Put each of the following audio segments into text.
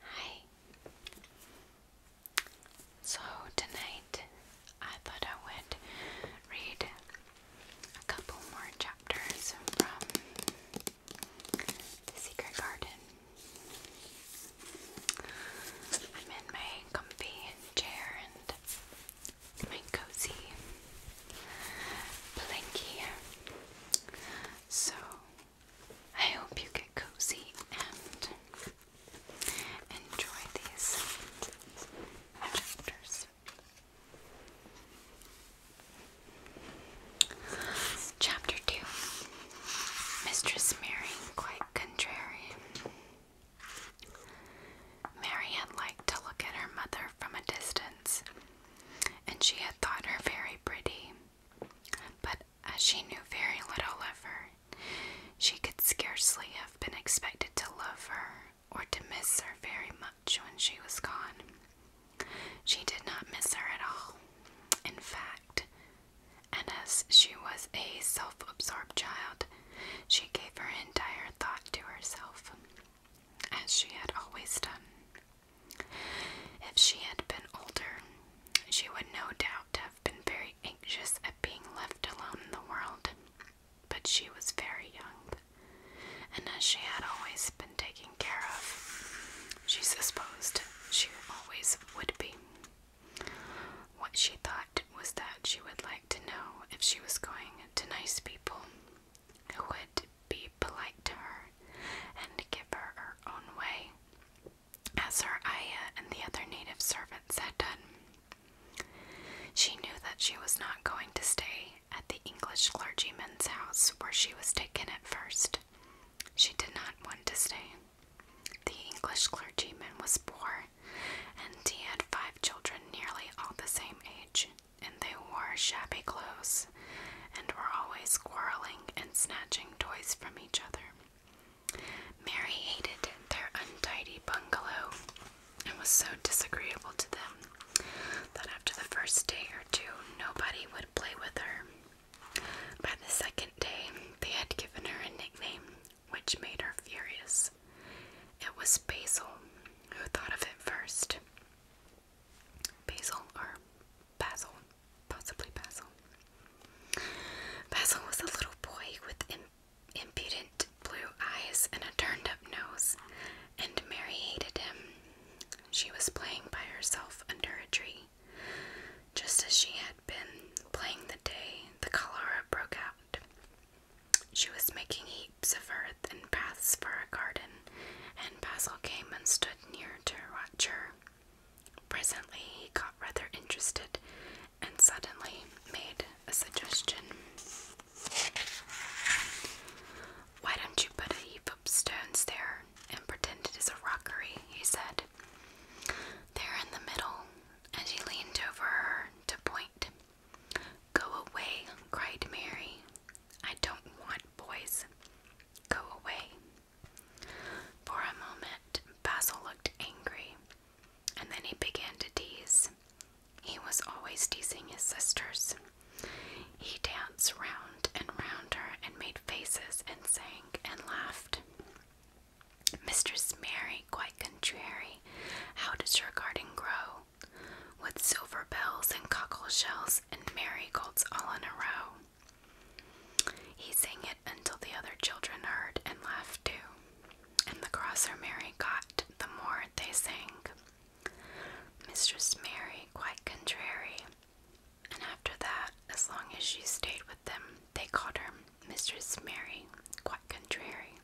Hi. So tonight I thought I would read a couple more chapters from The Secret Garden. I'm in my comfy chair and my cozy blankie. So I hope you get cozy and enjoy these chapters. Chapter 2 Mistress Mary Quite Contrary. Mary had liked to look at her mother from a distance, and she had thought her very pretty. But as she knew very little of her, she could scarcely have been expected to love her or to miss her very much when she was gone. She did not miss her at all. In fact, and as she was a self absorbed child, she gave her entire thought to herself, as she had always done. If she had been older, she would no doubt have been very anxious at being left alone in the world, but she was very young, and as she had always been taken care of, she supposed she always would be. What she thought was that she would like to know if she was going to nice people who would be polite to her and give her her own way, as her ayah and the other native servants had done. She knew that she was not going to stay at the English clergyman's house where she was taken at first. She did not want to stay. The English clergyman was poor, and he had five children nearly all the same age and they wore shabby clothes and were always quarreling and snatching toys from each other. Mary hated their untidy bungalow and was so disagreeable to them that after the first day or two, nobody would play with her. By the second day, they had given her a nickname which made her furious. It was Basil who thought of it first. Basil or Basil, possibly Basil. Basil was a little boy with impudent blue eyes and a turned up nose, and Mary hated him. She was playing by herself under a tree, just as she had been playing the day the cholera broke out. She was making heaps of earth and paths for a garden, and Basil came and stood near to Roger. Presently, he got rather interested and suddenly made a suggestion. Why don't you put a heap of stones there and pretend it is a rockery? He said. There in the middle, and he leaned over her to point. Go away, cried Mary. I don't want boys. Go away. For a moment, Basil looked angry, and then he began to tease. He was always teasing his sisters. He danced round and round her and made faces and sang and laughed. Mistress Mary, quite contrary, how does your garden grow? With silver bells and cockle shells, and Mary all in a row. He sang it until the other children heard and laughed too, and the crosser Mary got the more they sang. Mistress Mary, quite contrary, and after that, as long as she stayed with them, they called her Mistress Mary, quite contrary,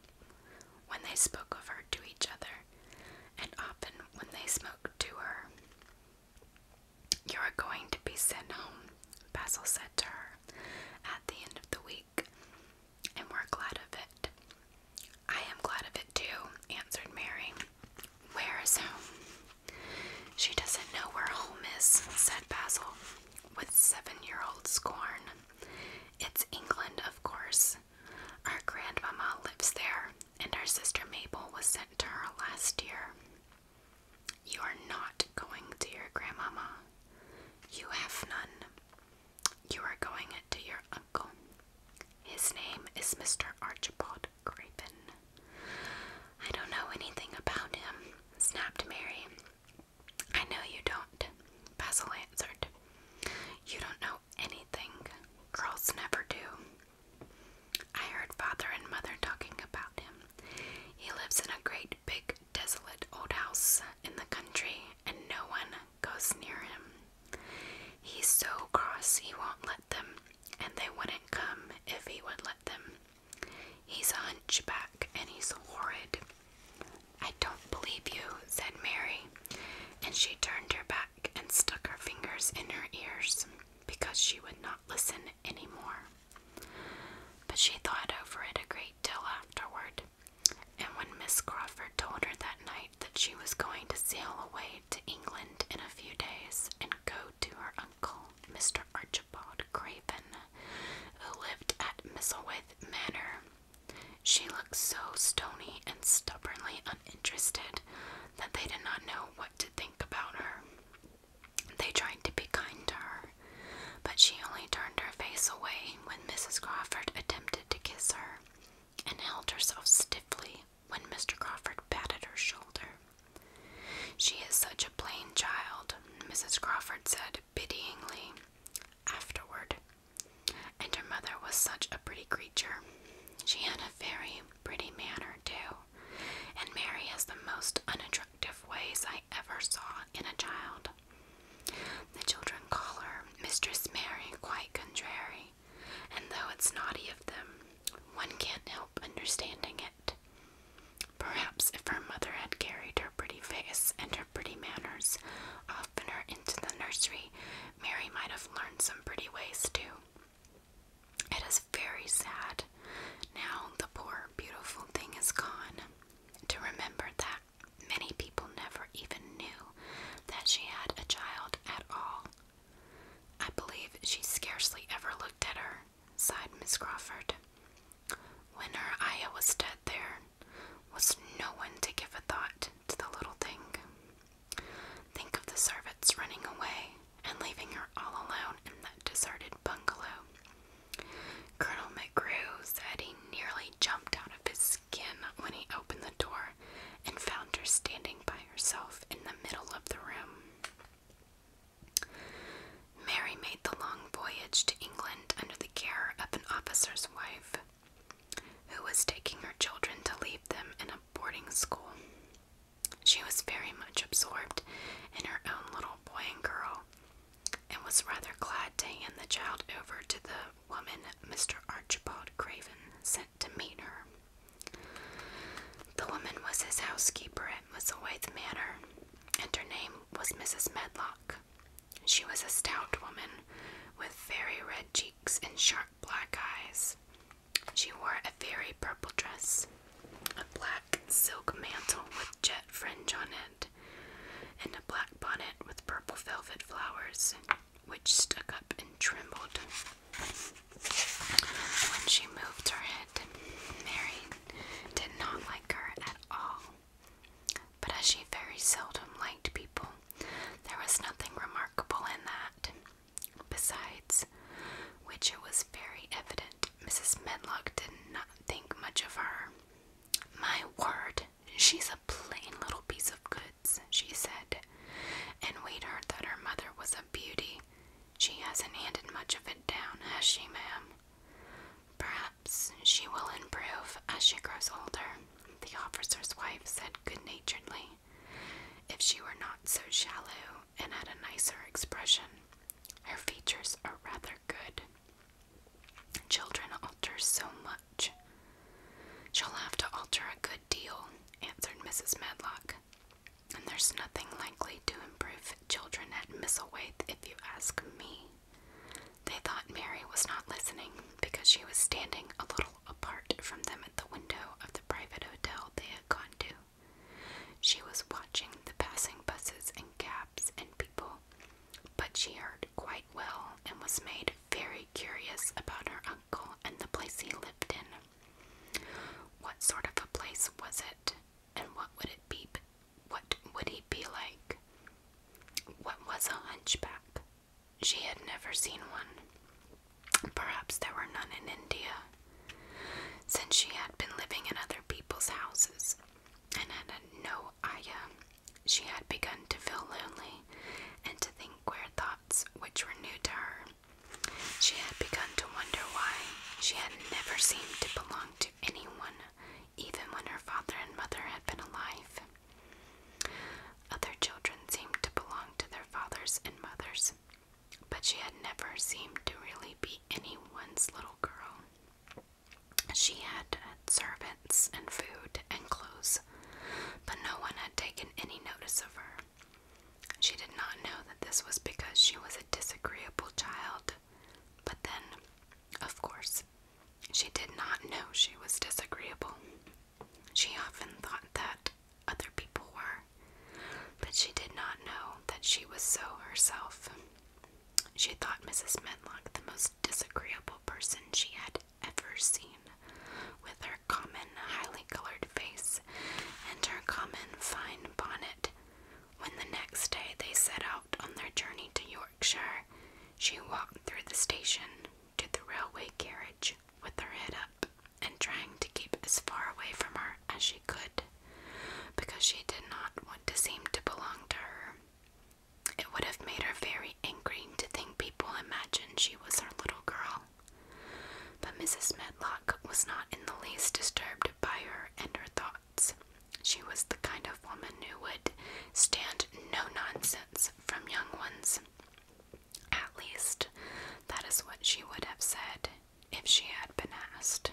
when they spoke of her to each other, and often when they spoke to her. You're going to be sent home, Basil said to her at the end of the week, and we're glad of it. I am glad of it too, answered Mary. Where is home? She doesn't know where home is, said Basil with seven year old scorn. It's England, of course. Our grandmama lives there, and our sister Mabel was sent to her last year. You are not going to your grandmama. You have none. You are going to your uncle. His name is Mr. Archibald Craven. I don't know anything about him, snapped Mary. I know you don't, Basil answered. You don't know anything girls never do. I heard father and mother talking about him. He lives in a great big desolate old house in the country and no one goes near him. He's so cross he won't let them, and they wouldn't come if he would let them. He's a hunchback and he's horrid. I don't believe you, said Mary, and she turned her back and stuck her fingers in her ears because she would not listen any more. But she thought over it a great deal afterward, and when Miss Crawford told her that night that she was going to sail away to England in a few days and go to her uncle, Mr. Archibald Craven, who lived at Misselwaith Manor, she looked so stony and stubbornly uninterested said that they did not know what to think about her. They tried to be kind to her, but she only turned her face away when Mrs. Crawford attempted to kiss her, and held herself stiffly when Mr. Crawford patted her shoulder. She is such a plain child, Mrs. Crawford said pityingly afterward, and her mother was such a pretty creature. She had a very pretty manner, too. And Mary has the most unattractive ways I ever saw in a child. The children call her Mistress Mary, quite contrary, and though it's naughty of them, one can't help understanding it. Perhaps if her mother had carried her pretty face and her pretty manners oftener into the nursery, Mary might have learned some pretty ways too. It is very sad. Now the poor, beautiful thing is gone. To remember that many people never even knew that she had a child at all. I believe she scarcely ever looked at her, sighed Miss Crawford. When her Aya was dead, there was no one to give a thought to the little thing. Think of the servants running away and leaving her all alone in that deserted bungalow. Colonel McGrew said he nearly jumped out of his skin when he opened the door and found her standing by herself in the middle of the room. Mary made the long voyage to England under the care of an officer's wife who was taking her children to leave them in a boarding school. She was very much absorbed in her own little boy and girl, and was rather glad to hand the child over to the woman Mr. Archibald Craven sent to meet her. The woman was his housekeeper at Musselwhite Manor, and her name was Mrs. Medlock. She was a stout woman with very red cheeks and sharp black eyes. She wore a very purple dress, a black silk mantle with jet fringe on it, and a black bonnet with purple velvet flowers, which stuck up and trembled when she moved her head. Mary did not like her at all, but as she very seldom liked people, there was nothing remarkable in that. Besides which, it was very evident Mrs. Medlock did not think much of her. My word, she's a plain little piece of goods, she said, and we heard that her mother was a beauty. She hasn't handed much of it down, has she, ma'am? Perhaps she will improve as she grows older, the officer's wife said good naturedly. If she were not so shallow and had a nicer expression, her features are rather good. Children alter so much. She'll have to alter a good deal, answered Mrs. Medlock. And there's nothing likely to improve children at Misselwaite if you ask me. They thought Mary was not listening because she was standing a little apart from them at the window of the private hotel they had gone to. She was watching the passing buses and cabs and people, but she heard quite well and was made very curious about her uncle and the place he lived in. What sort of a place was it, and what would it be? What would he be like? What was a hunchback? She had never seen one. Perhaps there were none in India, since she had been living in other people's houses and had no ayah. She had begun to feel lonely and to think queer thoughts which were new to her. She had begun to wonder why she had never seemed to belong to anyone, even when her father and mother had been alive. Other children seemed to belong to their fathers and mothers, but she had never seemed to really be anyone's little girl. She had servants and food and clothes, but no one had taken any notice of her. She did not know that this was because she was a disagreeable child, but then, of course, she did not know she was disagreeable. She often thought that other people were, but she did not know that she was so herself. She thought Mrs. Menlock the most disagreeable person she had ever seen, with her common, highly colored face and her common fine bonnet. When the next day they set out on their journey to Yorkshire, she walked through the station to the railway carriage with her head up and trying to keep as far away from her as she could because she did not want to seem to belong to her. It would have made her very angry to think people imagined she was her little girl. But Mrs. Medlock was not in the least disturbed by her and her thoughts. She was the kind of woman who would stand no nonsense from young ones. At least, that is what she would have said if she had been asked.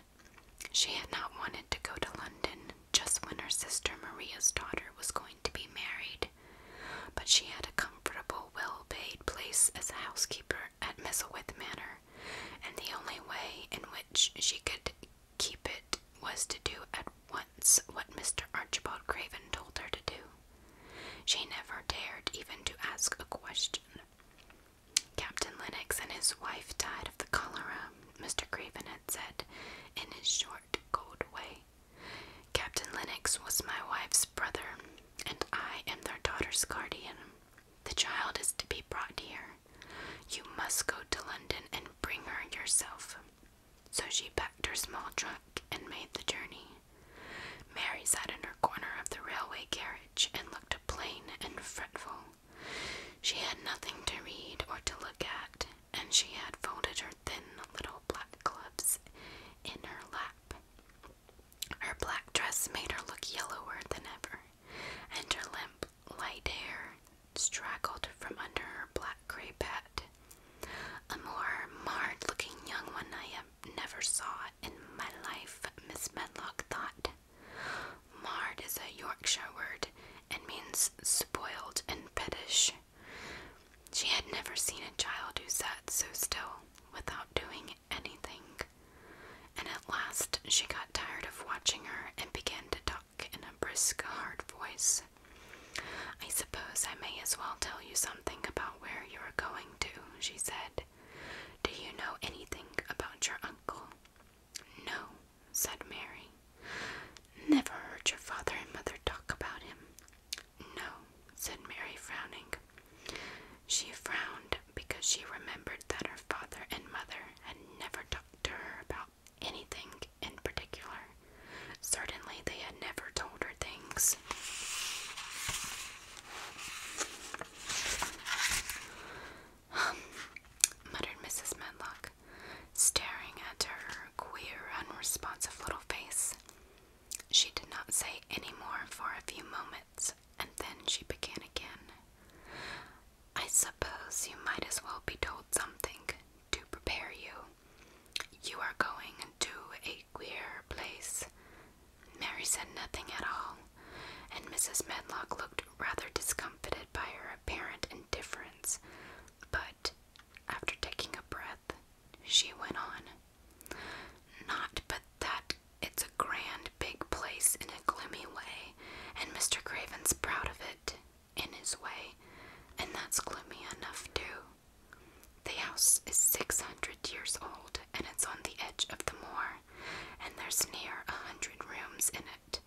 She had not wanted to go to London just when her sister Maria's daughter was going to be married, but she had a comfortable, well paid place as a housekeeper at Misselwith Manor, and the only way in which she could keep it was to do at once what Mr. Archibald Craven told her to do. She never dared even to ask a question. Captain Lennox and his wife died of the cholera, Mr. Craven had said in his short, cold way. Captain Lennox was my wife's brother, and I am their daughter's guardian. The child is to be brought here. You must go to London and bring her yourself. So she packed her small trunk and made the journey. Mary sat in her corner of the railway carriage and looked plain and fretful. She had nothing to read or to look at, and she had folded her thin little black gloves in her lap. Her black dress made her look yellower than ever, and her limp, light hair straggled from under her black grey hat. A more marred looking young one I never saw in my life, Miss Medlock thought. "Mard is a Yorkshire word and means spoiled and pettish. She had never seen a child who sat so still without doing anything. And at last she got tired of watching her and began to talk in a brisk, hard voice. I suppose I may as well tell you something about where you are going she said. Do you know anything about your uncle? No, said Mary. Never heard your father and mother talk about him. No, said Mary, frowning. She frowned because she remembered that her father and mother had never talked to her about anything in particular. Certainly, they had never told her things. muttered Mrs. Medlock, staring at her queer, unresponsive little face. She did not say any more for a few moments, and then she began again. I suppose you might as well be told something to prepare you. You are going to a queer place. Mary said nothing at all, and Mrs. Medlock looked rather discomfited by her apparent indifference, but after taking a breath, she went on. Not but that it's a grand big place in a gloomy way, and Mr. Craven's proud of it in his way, and that's gloomy enough too. The house is 600 years old and it's on the edge of the moor, and there's near a hundred rooms in it,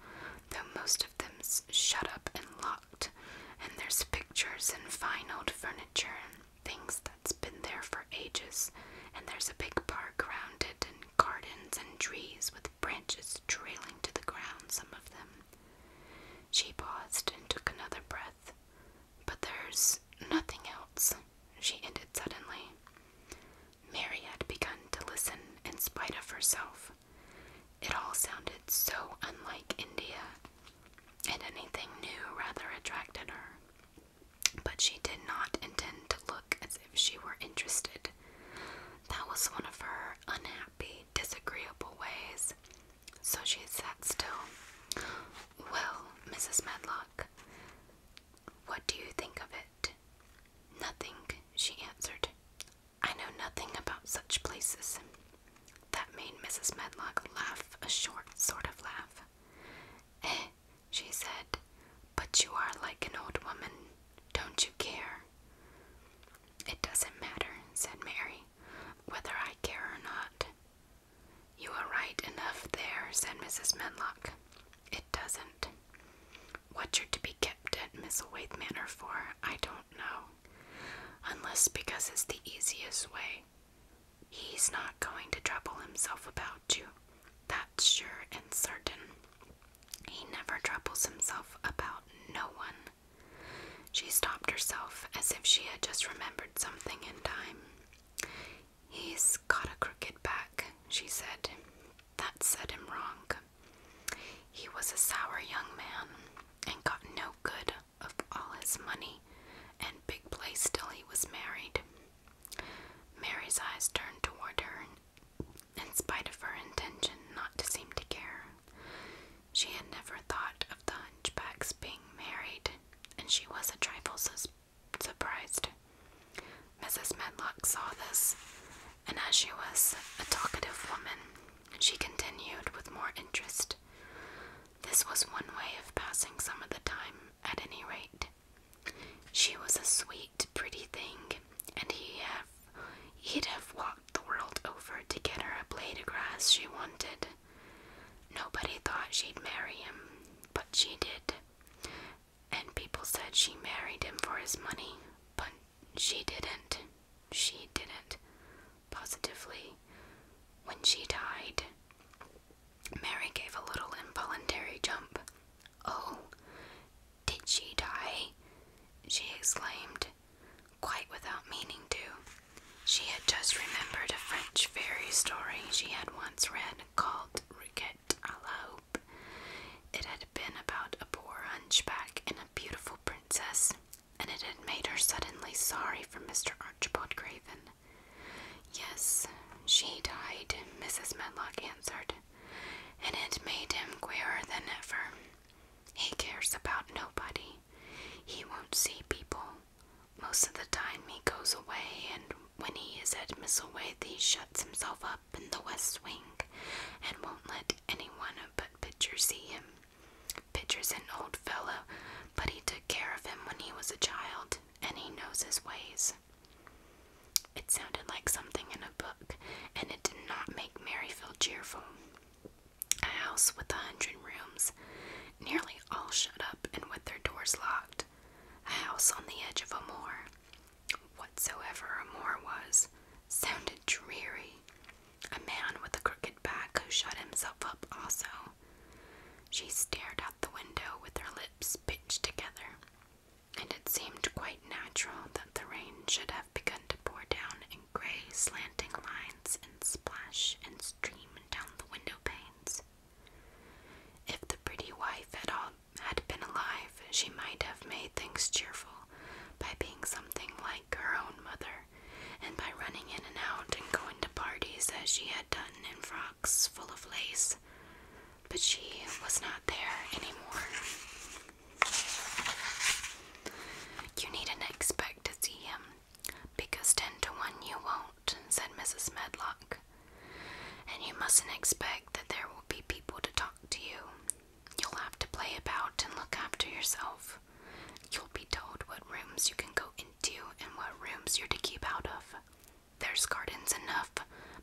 though most of them's shut up and locked, and there's pictures and fine old furniture and things that's been there for ages, and there's a big park around it and gardens and trees with branches trailing to the ground, some of them. She paused and took another breath. But there's nothing else, she ended suddenly. Mary had begun to listen in spite of herself. It all sounded so unlike India, and anything new rather attracted her. But she did not intend to look as if she were interested. That was one of her unhappy, disagreeable ways. So she sat still. Well, Mrs. Medlock. What do you think of it? Nothing, she answered. I know nothing about such places. That made Mrs. Medlock laugh, a short sort of laugh. Eh, she said, but you are like an old woman. Don't you care? It doesn't matter, said Mary, whether I care or not. You are right enough there, said Mrs. Menlock. It doesn't. What you're to be kept at Miss Manor for, I don't know. Unless because it's the easiest way. He's not going to trouble himself about you. That's sure and certain. He never troubles himself about no one. She stopped herself as if she had just remembered something in time. He's got a crooked back, she said. That set him wrong. He was a sour young man and got no good of all his money and big place till he was married. Mary's eyes turned toward her, in spite of her intention not to seem to care. She had never thought of the hunchback's being married, and she was a trifle suspicious surprised. Mrs. Medlock saw this, and as she was a talkative woman, she continued with more interest. This was one way of passing some of the time, at any rate. She was a sweet, pretty thing, and he have, he'd have walked the world over to get her a blade of grass she wanted. Nobody thought she'd marry him, but she did. And people said she married him for his money, but she didn't. She didn't. Positively. When she died, Mary gave a little involuntary jump. Oh, did she die? She exclaimed, quite without meaning to. She had just remembered a French fairy story she had once read called *Riquet à la Hope. It had been about a poor hunchback and a beautiful princess, and it had made her suddenly sorry for Mr. Archibald Craven. Yes, she died, Mrs. Medlock answered, and it made him queerer than ever. He cares about nobody. He won't see people. Most of the time he goes away, and when he is at Misselwaith, he shuts himself up in the west wing and won't let anyone but Pitcher see him. Pitcher's an old fellow, but he took care of him when he was a child, and he knows his ways. It sounded like something in a book, and it did not make Mary feel cheerful. A house with a hundred rooms, nearly all shut up and with their doors locked, a house on the edge of a moor. Whatsoever a moor was, sounded dreary. A man with a crooked back who shut himself up also. She stared out the window with her lips pinched together, and it seemed quite natural that the rain should have begun to pour down in grey, slanting lines and splash and stream down the window panes. If the pretty wife had all had been alive, she might have made things cheerful by being something like her own mother, and by running in and out and going to parties as she had done in frocks full of lace. But she was not there anymore. You needn't expect to see him because ten to one you won't, said Mrs. Medlock. And you mustn't expect that there will be people to talk to you. You'll have to play about and look after yourself. You'll be told what rooms you can go into and what rooms you're to keep out of. There's gardens enough,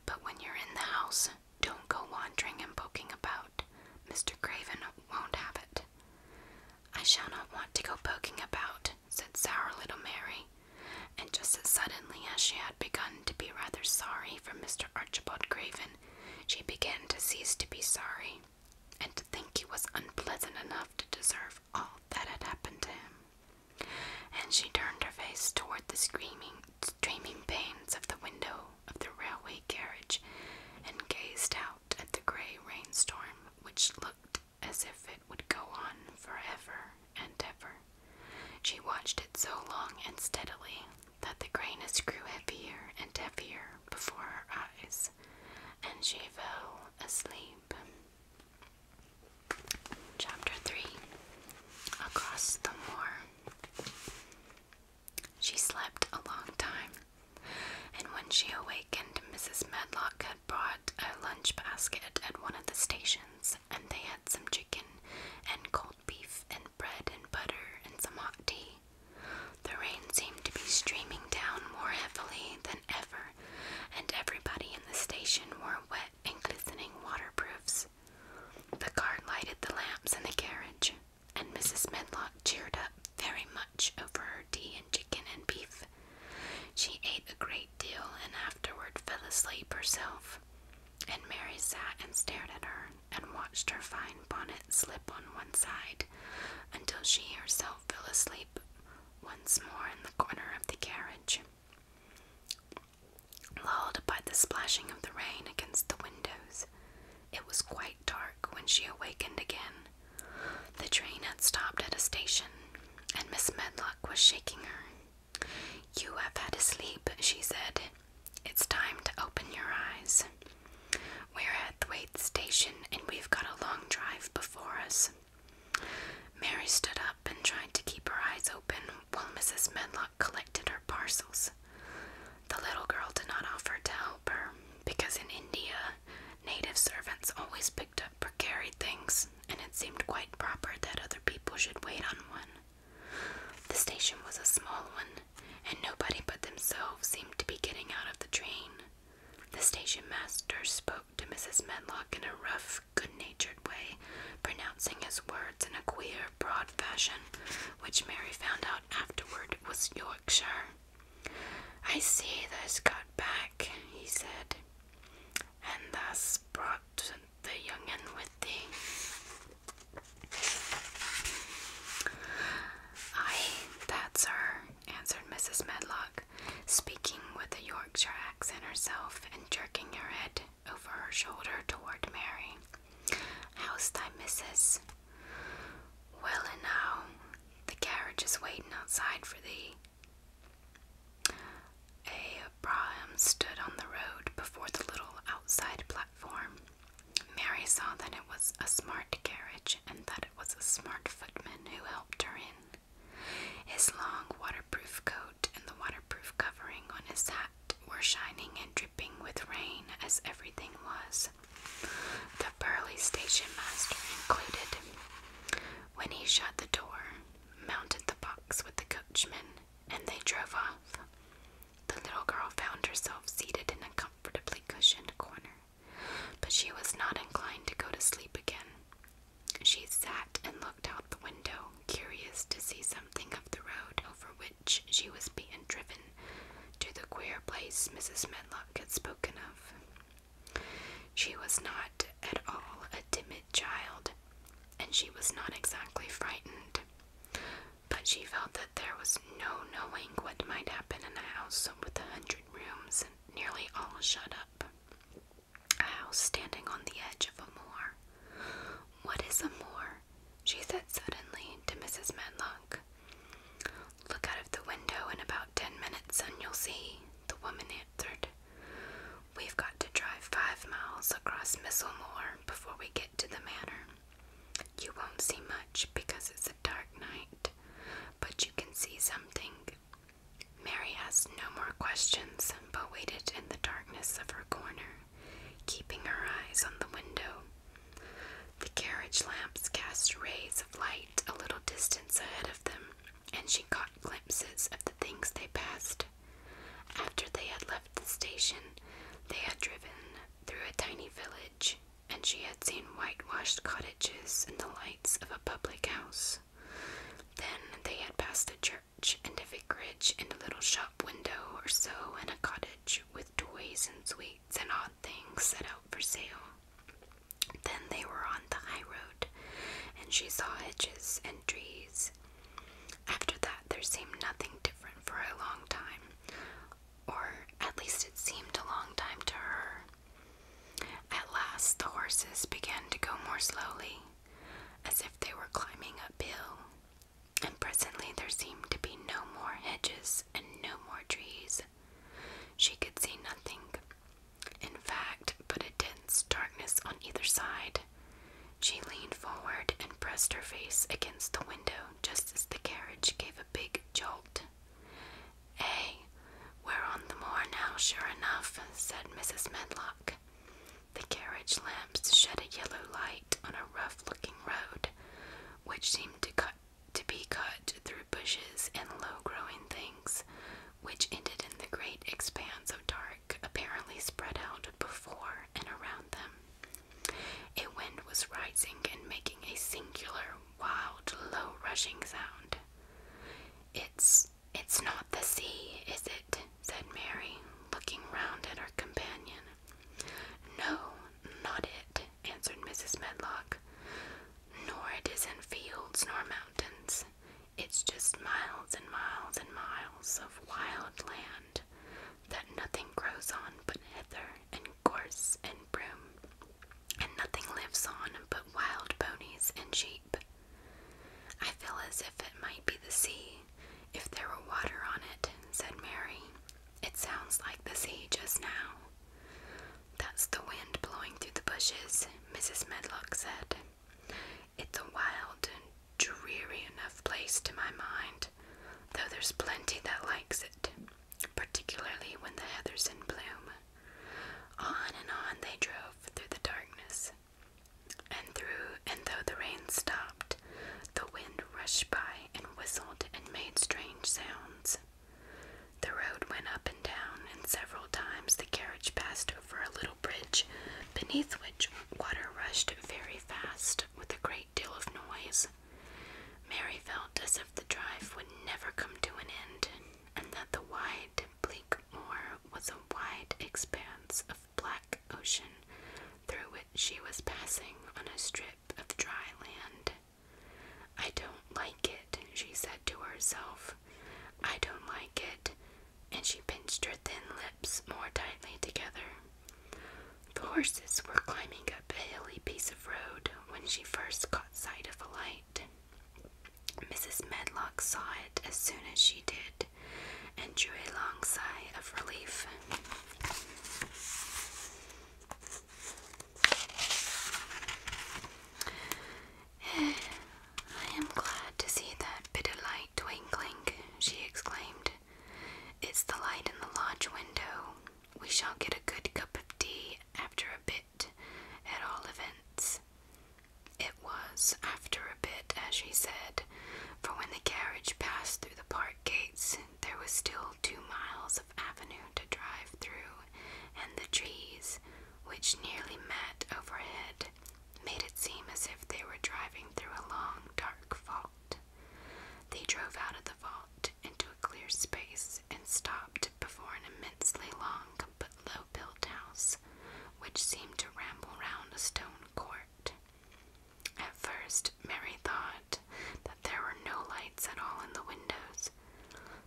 but when you're in the house, don't go wandering and poking about. Mr. Craven won't have it. I shall not want to go poking about, said sour little Mary, and just as suddenly as she had begun to be rather sorry for Mr. Archibald Craven, she began to cease to be sorry, and to think he was unpleasant enough to deserve all that had happened to him. And she turned her face toward the screaming, streaming panes of the window of the railway carriage, and gazed out at the grey rainstorm which looked as if it would go on forever and ever. She watched it so long and steadily that the grayness grew heavier and heavier before her eyes, and she fell asleep. Chapter 3 Across the Moor. She slept a long time, and when she awakened, and Mrs. Medlock had brought a lunch basket at one of the stations, and they had some chicken and cold beef and bread and butter and some hot tea. The rain seemed to be streaming down more heavily than ever, and everybody in the station wore wet and glistening waterproofs. The guard lighted the lamps in the carriage, and Mrs. Medlock cheered up very much over tea and chicken and beef. She ate a great deal and afterward fell asleep herself. And Mary sat and stared at her and watched her fine bonnet slip on one side until she herself fell asleep once more in the corner of the carriage. Lulled by the splashing of the rain against the windows, it was quite dark when she awakened again the train had stopped at a station, and Miss Medlock was shaking her. You have had a sleep, she said. It's time to open your eyes. We're at Thwaite Station, and we've got a long drive before us. Mary stood up and tried to keep her eyes open while Mrs. Medlock collected her parcels. The little girl did not offer to help her because in India, native servants always picked up precarious things, and it seemed quite proper that other people should wait on one. The station was a small one, and nobody but themselves seemed to be getting out of the train. The station master spoke to Mrs. Medlock in a rough, good natured way, pronouncing his words in a queer, broad fashion, which Mary found out afterward was Yorkshire. I see that has got back, he said and thus brought the young'un with thee. Aye, that's her, answered Mrs. Medlock, speaking with a Yorkshire accent herself and jerking her head over her shoulder toward Mary. How's thy missus? Well, and now the carriage is waiting outside for thee, a brougham stood on the road before the little outside platform. Mary saw that it was a smart carriage and that it was a smart footman who helped her in. His long waterproof coat and the waterproof covering on his hat were shining and dripping with rain as everything was. The burly station master included. When he shut the door, mounted the box with the coachman, and they drove off, the little girl found herself seated in a comfortably cushioned corner, but she was not inclined to go to sleep again. She sat and looked out the window, curious to see something of the road over which she was being driven to the queer place Mrs. Medlock had spoken of. She was not at all a timid child, and she was not exactly frightened. But she felt that there was no knowing what might happen in a house with a hundred rooms nearly all shut up. A house standing on the edge of a moor. What is a moor? she said suddenly to Mrs. Menlock. Look out of the window in about ten minutes and you'll see, the woman in." answered. We've got to drive five miles across Misselmore before we get to the manor. You won't see much because it's a dark night, but you can see something. Mary asked no more questions but waited in the darkness of her corner, keeping her eyes on the window. The carriage lamps cast rays of light a little distance ahead of them and she caught glimpses of the things they passed. After they had left the station, they had driven through a tiny village, and she had seen whitewashed cottages and the lights of a public house. Then they had passed a church and a vicarage and a little shop window or so and a cottage with toys and sweets and odd things set out for sale. Then they were on the high road, and she saw hedges and trees. After that, there seemed nothing different for a long time, or at least it seemed a long time to her. At last, the horses began to go more slowly, as if they were climbing a hill, and presently there seemed to be no more hedges and no more trees. She could see nothing in fact, but a dense darkness on either side. She leaned forward and pressed her face against the window just as the carriage gave a big jolt. "A, we're on the moor now, sure enough, said Mrs. Medlock. The carriage lamps shed a yellow light on a rough looking road, which seemed to be cut through bushes and low growing things, which ended in the great expanse of dark apparently spread out before and around them. A wind was rising and making a singular, wild, low rushing sound. It's it's not the sea, is it? said Mary, looking round at her companion. No, not it, answered Mrs. Medlock. Nor it in fields nor mountains. It's just miles and miles and miles of wild land that nothing grows on but heather and gorse and broom, and nothing lives on but wild ponies and sheep. I feel as if it might be the sea if there were water on it, said Mary. It sounds like the sea just now. That's the wind blowing through the bushes, Mrs. Medlock said. It's a wild and dreary enough place to my mind, though there's plenty that likes it, particularly when the heather's in bloom. On and on they drove through the darkness. And through and though the rain stopped, the wind rushed by and whistled and made strange sounds. The road went up and down, and several times the carriage passed over a little bridge, beneath which water rushed very fast with a great deal of noise. Mary felt as if the drive would never come to an end, and that the wide, bleak moor was a wide expanse of black ocean through which she was passing on a strip of dry land. I don't it, she said to herself. I don't like it. And she pinched her thin lips more tightly together. The horses were climbing up a hilly piece of road when she first caught sight of a light. Mrs. Medlock saw it as soon as she did and drew a long sigh of relief. I am glad to see that bit of light twinkling, she exclaimed. It's the light in the lodge window. We shall get a good cup of tea after a bit, at all events. It was after a bit, as she said, for when the carriage passed through the park gates, there was still two miles of avenue to drive through, and the trees, which nearly met overhead, made it seem as if they were driving through a long, dark vault. They drove out of the vault into a clear space and stopped before an immensely long but low built house, which seemed to ramble round a stone court. At first, Mary thought that there were no lights at all in the windows.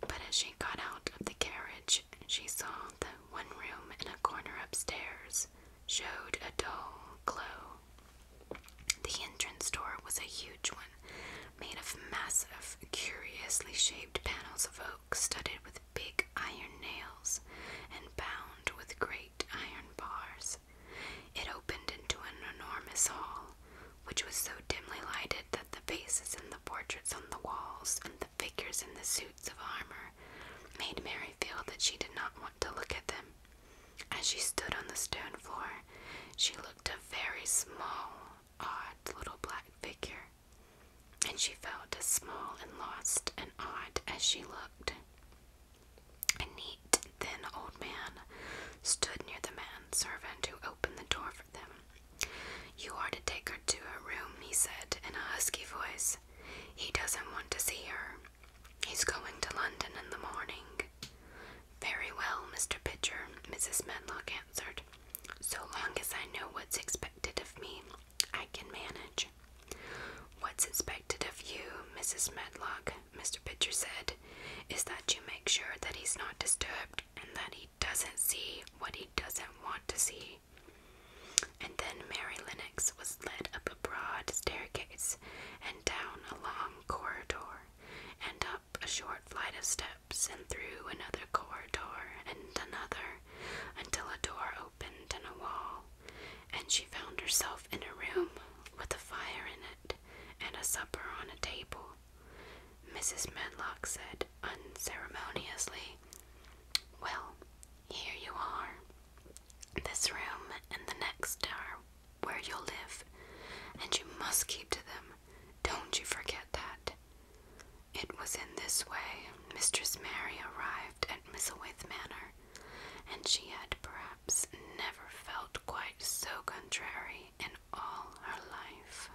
But as she got out of the carriage, she saw that one room in a corner upstairs showed a dull glow. The entrance door was a huge one, made of massive, curiously shaped panels of oak studded with big iron nails and bound with great iron bars. It opened into an enormous hall, which was so dimly lighted that the faces and the portraits on the walls and figures in the suits of armor made Mary feel that she did not want to look at them. As she stood on the stone floor, she looked a very small, odd little black figure, and she felt as small and lost and odd as she looked. A neat, thin old man stood near the man servant who opened the door for them. You are to take her to her room, he said in a husky voice. He doesn't want to see her. He's going to London in the morning. Very well, Mr. Pitcher, Mrs. Medlock answered. So long as I know what's expected of me, I can manage. What's expected of you, Mrs. Medlock, Mr. Pitcher said, is that you make sure that he's not disturbed and that he doesn't see what he doesn't want to see. And then Mary Lennox was led up a broad staircase and down a long corridor and up a short flight of steps and through another corridor and another until a door opened in a wall and she found herself in a room with a fire in it and a supper on a table. Mrs. Medlock said, unceremoniously, Well, here you are. This room and the next are where you'll live, and you must keep to them. Don't you forget that. It was in this way Mistress Mary arrived at Misselwaith Manor, and she had perhaps never felt quite so contrary in all her life.